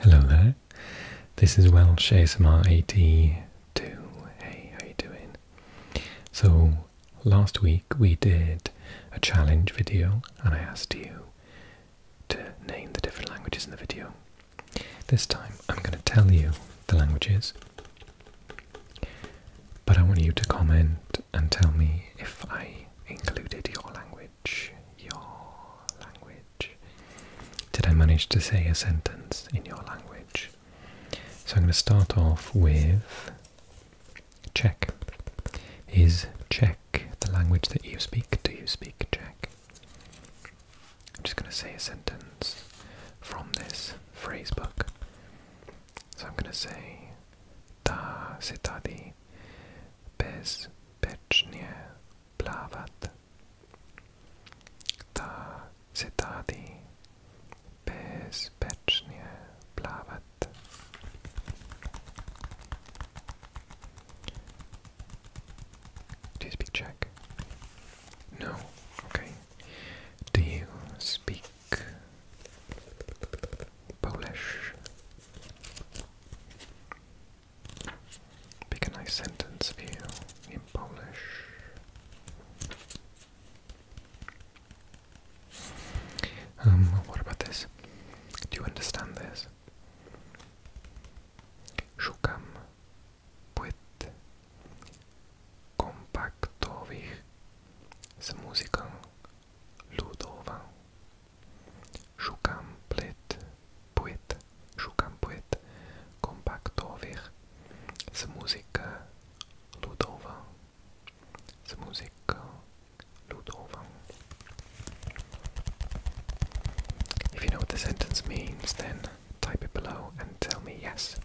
Hello there, this is Welsh ASMR 82. Hey, how are you doing? So, last week we did a challenge video and I asked you to name the different languages in the video. This time I'm going to tell you the languages, but I want you to comment and tell me if I included your language your language. Did I manage to say a sentence in your language? So I'm going to start off with check. Is Czech the language that you speak? Do you speak Czech? I'm just going to say a sentence from this phrase book. So I'm going to say Ta se tady bezpečně πλάβατε. Τα ζητάδι bezpiecznie πλάβατε. Do you speak Czech? No. Okay. Do you speak Polish? Pick a nice sentence for you in Polish. Um, what about this? Do you understand this? Szukam płyt kompaktowych z muzyką ludową. Sukamplit puit, Sukampuit kompaktovih, z muzika ludova, z If you know what the sentence means, then type it below and tell me yes.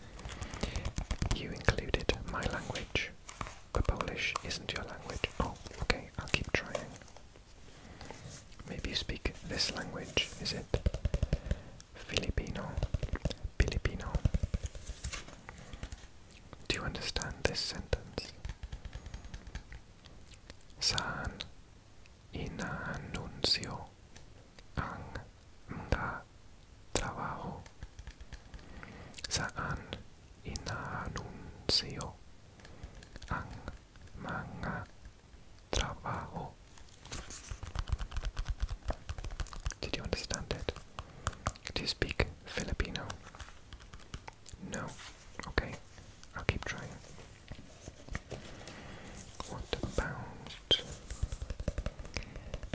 You included my language, but Polish isn't your language. Oh, okay, I'll keep trying. Maybe you speak this language, is it? Filipino, Filipino. Do you understand this sentence? Saan inanuncio ang mga trabaho? Saan inanuncio ang mga trabaho. Did you understand it? Do you speak Filipino? No? Okay, I'll keep trying. What about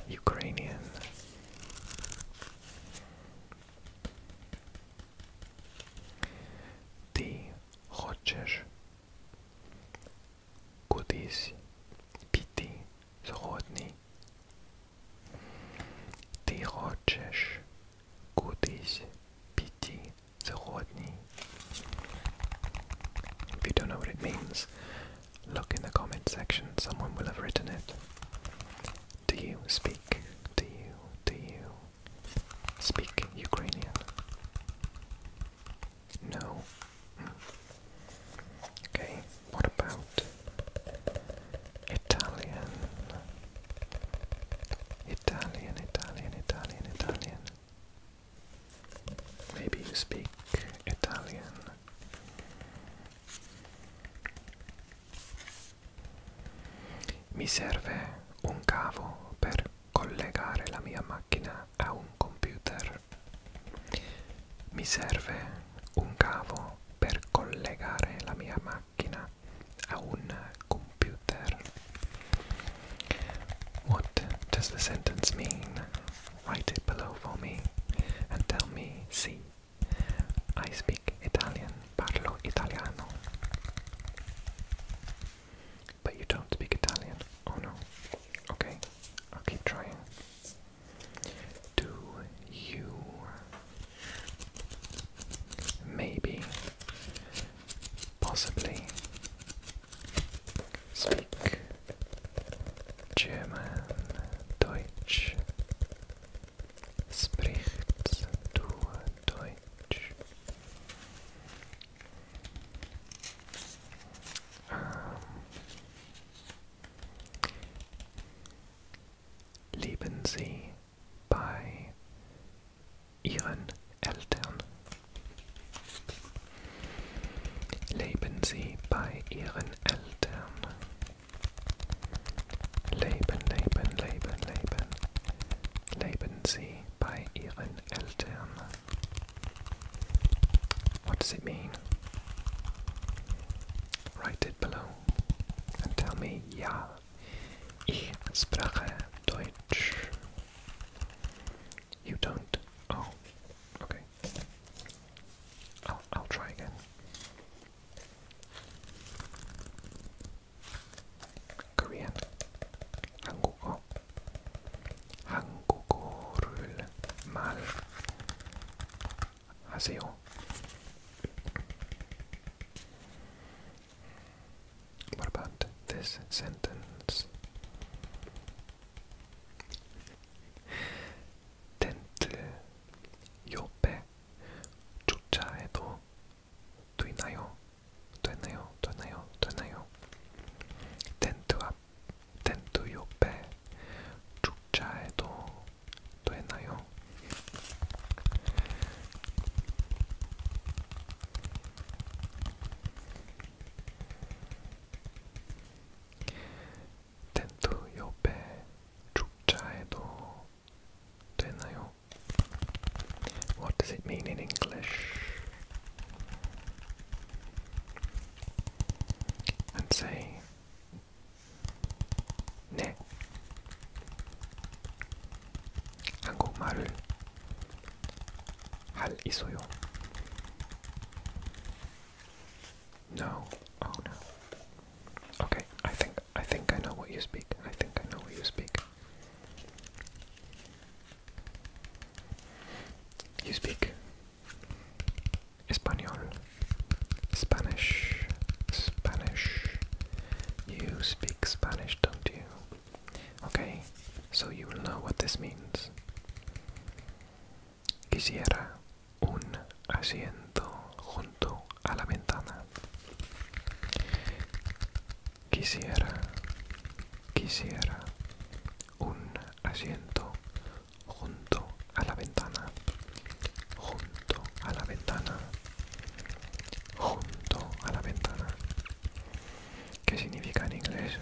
Ukrainian? Ty хочеш кудись піти згодний. Ти хочеш кудись піти згодний. If you don't know what it means, look in the comment section, someone will have written it. Do you speak? Do you? Do you? Speak Ukrainian. No. Okay, what about Italian? Italian, Italian, Italian, Italian. Maybe you speak Italian. Mi serve un cavo per collegare la mia macchina a un computer. Mi serve un cavo per collegare la mia macchina a un computer. What does the sentence mean? Write it below for me and tell me, see, I speak Italian. parlo italiano. But you don't speak Italian. Oh no. Okay, I'll keep trying. Do you maybe possibly speak German, Deutsch, Sprichst du Deutsch? Ähm, leben Sie bei Ihren Eltern? Leben Sie bei Ihren Eltern? What does it mean? Write it below and tell me, ja, ich spreche Deutsch. You don't? Oh, okay. I'll, I'll try again. Korean 한국어 한국어를 말하세요. What about this sentence? 텐트 옆에 주차해도 또 있나요? 또 있나요? 또 있나요? 또 있나요? 텐트 앞, 텐트 옆에 축제에도 또 있나요? 텐트 옆에 축제에도 되나요? What does it mean in English? And say Ne 한국말을 할 있어요. No. Oh no. Okay, I think I think I know what you speak. I think I know what you speak. You speak Spanish. Spanish, Spanish. You speak Spanish, don't you? Okay, so you will know what this means. Quisiera un asiento junto a la ventana. Quisiera, quisiera un asiento junto a la ventana, junto a la ventana, junto a la ventana. ¿Qué significa en inglés?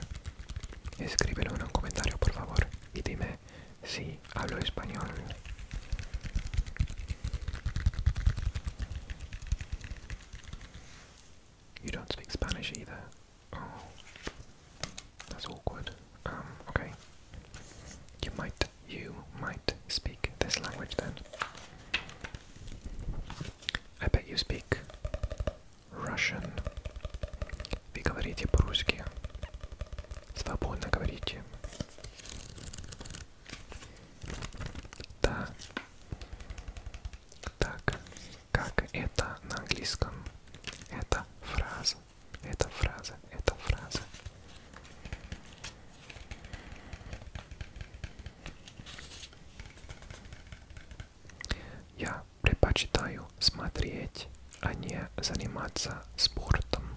Escríbelo en un comentario por favor y dime si I hablo español. You don't speak Spanish either. Oh, that's awkward. Um, okay. You might, you might speak this language then. I bet you speak Russian. Вы говорите по-русски. Свободно говорите. Да. Так, как это на английском? Это фраза, это фраза, это фраза. Я предпочитаю смотреть, а не заниматься спортом.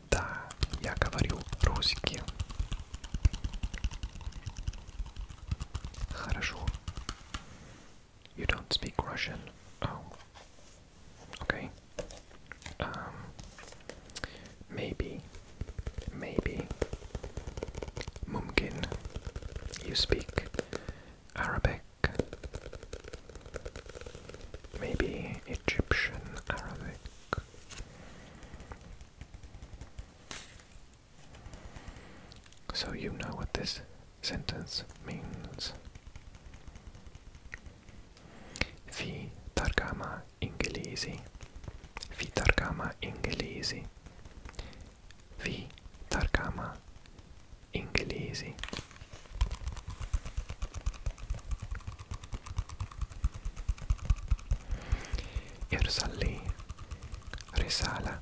Да, я говорю русский. Хорошо. You don't speak Russian. Oh. Okay. Um maybe maybe Mumkin you speak Arabic Maybe Egyptian Arabic so you know what this sentence means. Fi targama inglesi. Fi targama inglesi. Fi targama inglesi. ارسل لي رسالة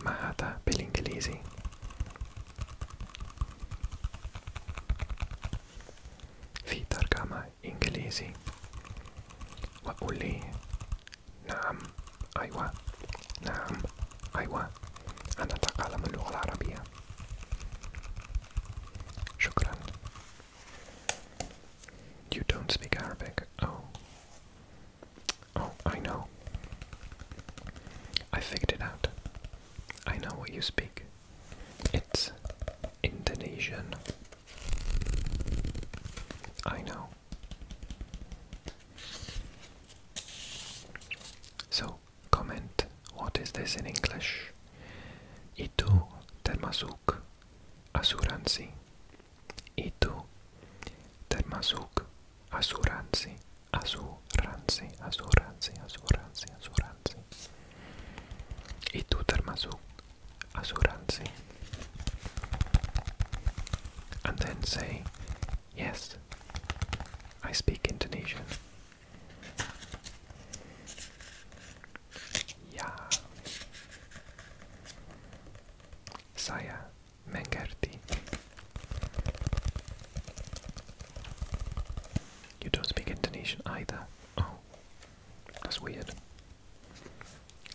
ما هذا بالإنجليزي في ترجمة إنجليزي وقول لي نعم أيوة نعم أيوة أنا أتكلم اللغة العربية Shukran. You don't speak Arabic. Oh. Oh, I know. I figured it out. I know what you speak. It's Indonesian. I know. So, Comment what is this in English. Itu termasuk asuransi. Itu termasuk asuransi. Asuransi, asuransi, asuransi, asuransi. Itu termasuk asuransi. And then say, yes, I speak Indonesian. Ja. Saya Mengerti. You don't speak Indonesian either. Oh, that's weird.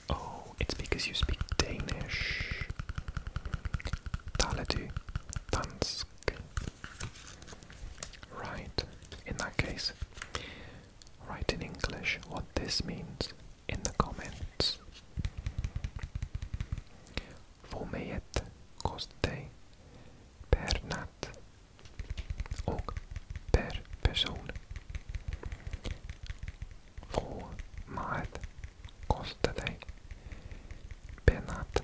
Oh, it's because you speak Danish. Taletu Dansk. Right, in that case, write in English what this means in the comments. Fomejett kostej per natt och per person. Fåmaet kostade per natt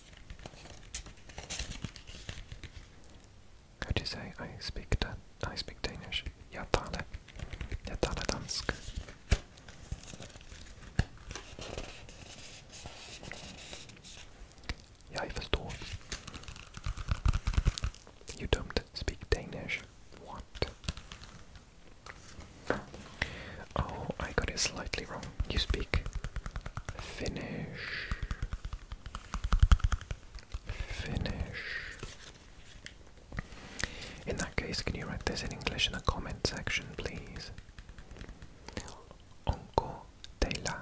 How do you say I speak Dan I speak Danish? Jag talar. Jag talar dansk. Jag förstår. You don't speak Danish. What? Oh, I got it slightly wrong. You speak Finnish. Finnish. In that case, can you write this in English in the comment section, please? Onko teillä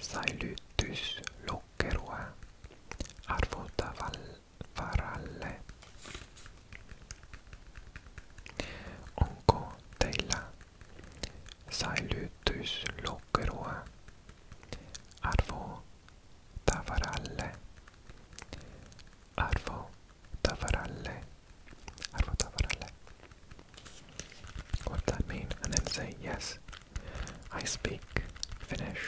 säilytyslokkeroa arvottavalle varalle? Onko teillä säilytyslokeroa arvo tavaralle? Arvo tavaralle. Arvo tavaralle. What that mean? And then say yes. I speak finish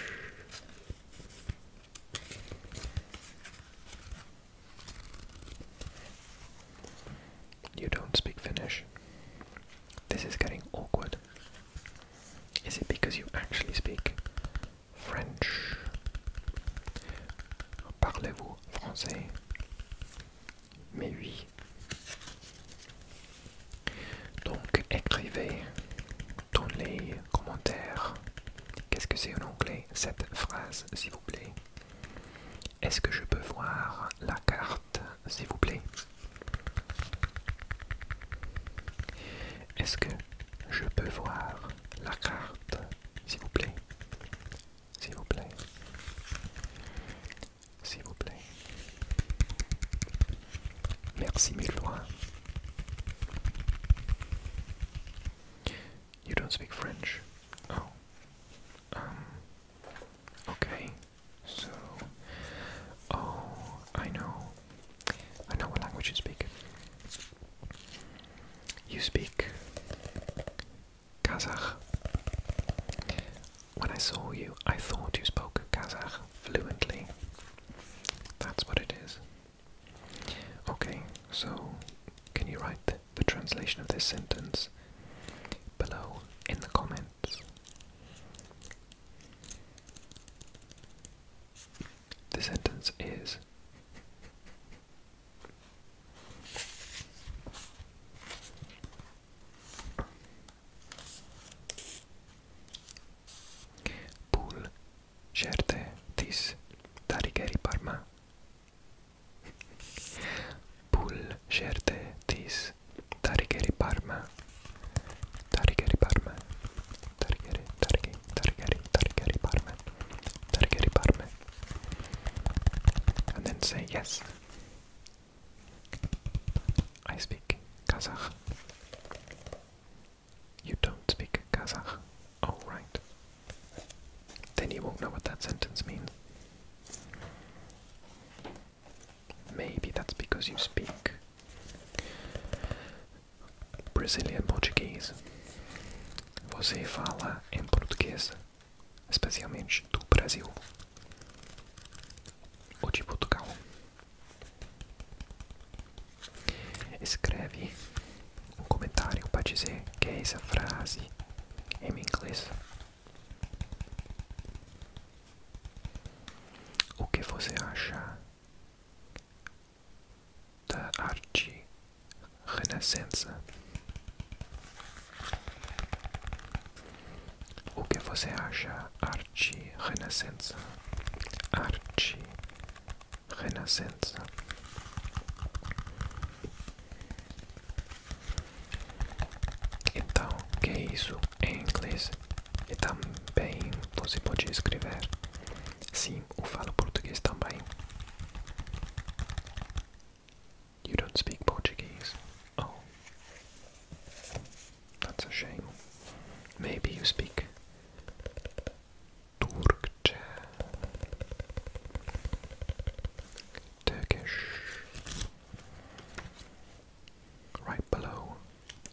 You don't speak Finnish. This is getting awkward. Is it because you actually speak French? Parlez-vous français? Mais oui. Donc écrivez dans les commentaires Qu'est-ce que c'est en anglais cette phrase, s'il vous plaît Est-ce que je peux voir la carte, s'il vous plaît Est-ce que je peux voir la carte, s'il vous plaît S'il vous plaît S'il vous plaît Merci mille You don't speak French. Oh. Um. Okay. So. Oh, I know. I know what language you speak. You speak Kazakh. When I saw you, I thought you spoke Kazakh fluently. That's what it is. Okay, so can you write the translation of this sentence below in the comments? The sentence is Pool certe tis tarigeri parma Pull certe tis tarigeri parma tarigeri parma tarigeri tarigeri tarigeri tarigeri parma tarigeri parma and then say yes I speak Kazakh you don't speak Kazakh. All right. Then you won't know what that sentence means. Maybe that's because you speak Brazilian Português. Você fala em português, especialmente do Brasil ou de Portugal. Escreve um comentário para dizer que é essa frase em inglês. O que você acha da arte renascença? O que você acha arte renascença? Arte Renascença. Então, que é isso em inglês? E também você pode escrever. Sim, eu falo português também. You don't speak Portuguese? Oh. That's a shame. Maybe you speak Türkçe Turkish Right below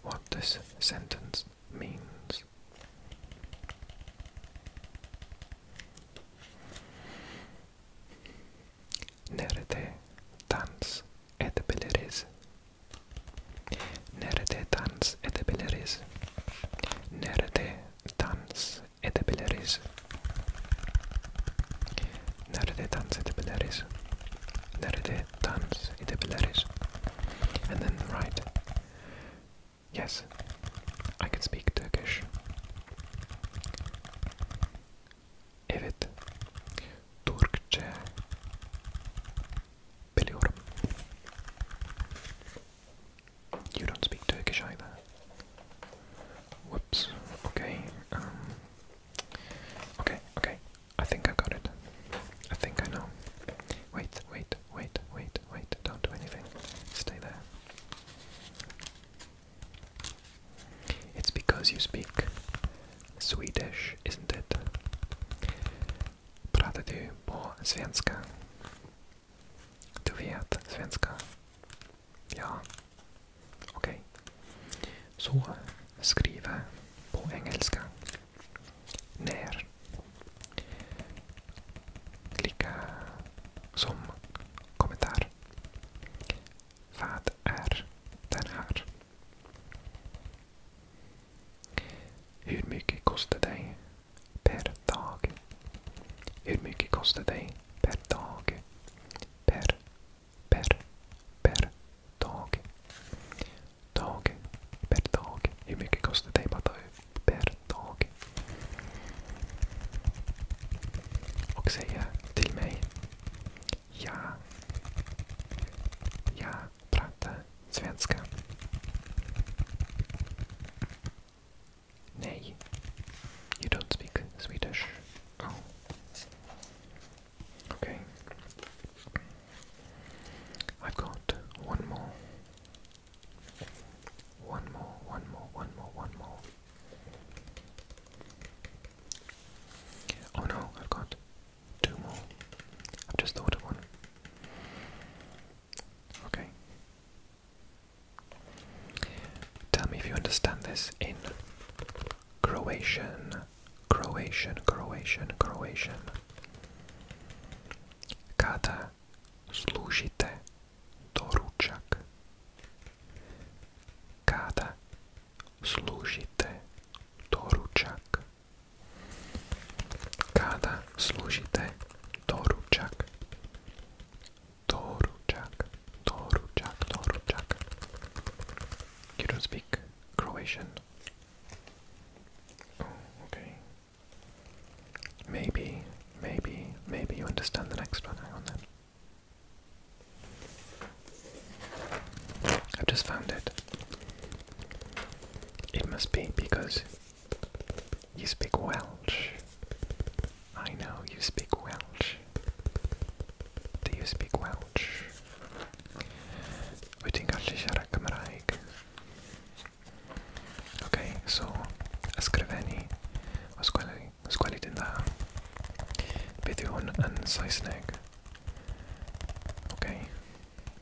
what this sentence means. Nerede dans edebiliriz? Nerede dans edebiliriz? Nerede dans edebiliriz? Nerede dans edebiliriz? Nerede dans edebiliriz? And then write. Yes, I can speak Turkish. Evet, Türkçe you don't speak Turkish either. Whoops. Okay. Um, okay, okay. I think I got it. I think I know. Wait, wait, wait, wait, wait. Don't do anything. Stay there. It's because you speak Swedish, isn't it? Pratar du svenska? Du vet, svenska. Ja. Okej. Okay. Så, skriva på engelska. När. Klicka som kommentar. Vad är den här? Hur mycket kostar dig per dag? Hur mycket kostar dig per dag? Per, per, per dag. Dag, per dag. Hur mycket kostar dig bara per dag? Och säga till mig. Ja. ja, pratar svenska. Nej. You don't speak Swedish. Oh. Okay. I've got one more. One more, one more, one more, one more. Oh no, I've got two more. I've just thought of one. Okay. Tell me if you understand this in Croatian, Croatian, Croatian, Croatian. Kada služite doručak? Kada služite doručak? Kada služite doručak? Doručak, doručak, doručak. You don't speak Croatian. Oh, okay. Maybe, maybe, maybe you understand the next one. Hang on then. I've just found it. It must be because you speak Welsh. I know you speak Welsh. Do you speak Welsh? Wyt ti'n gallu siarad Cymraeg? Okay, so ysgrifennu os gweli, os gweli dyn dda. Beth yw hwn yn Saesneg? Okay.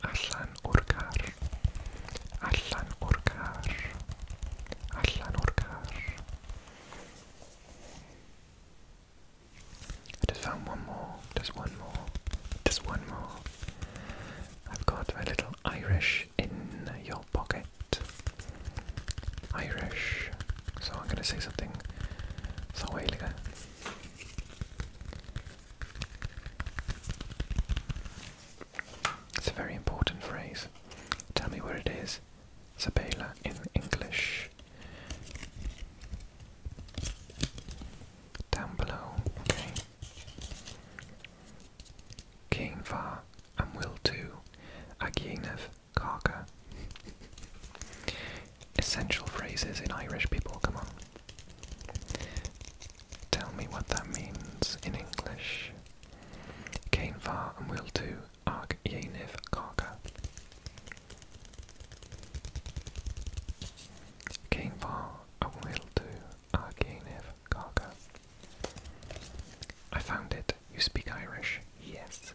allan o'r car, allan o'r allan o'r car. I just found one more, just one more, just one more. I've got my little Irish in your pocket. Irish. So I'm going to say something Sawailiga. It's a very important phrase. Tell me where it is. Sabela in English. Down below, okay. Kienvar and will too. Agienev Karka. Essential phrases in Irish people, come on. Tell me what that means in English. Cain var and will do arg yeniv karka. Cain var and will do arg karka. I found it. You speak Irish. Yes.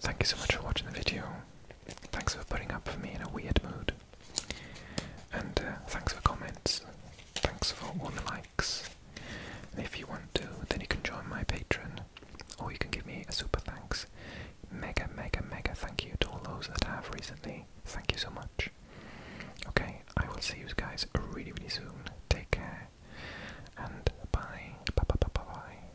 Thank you so much for watching the video. Thanks for putting up for me in a weird mood. And uh, thanks for comments. Thanks for all the likes. And if you want to, then you can join my Patreon. Or you can give me a super thanks. Mega, mega, mega thank you to all those that have recently. Thank you so much. Okay, I will see you guys really, really soon. Take care. And bye. Bye, bye, bye, bye, bye.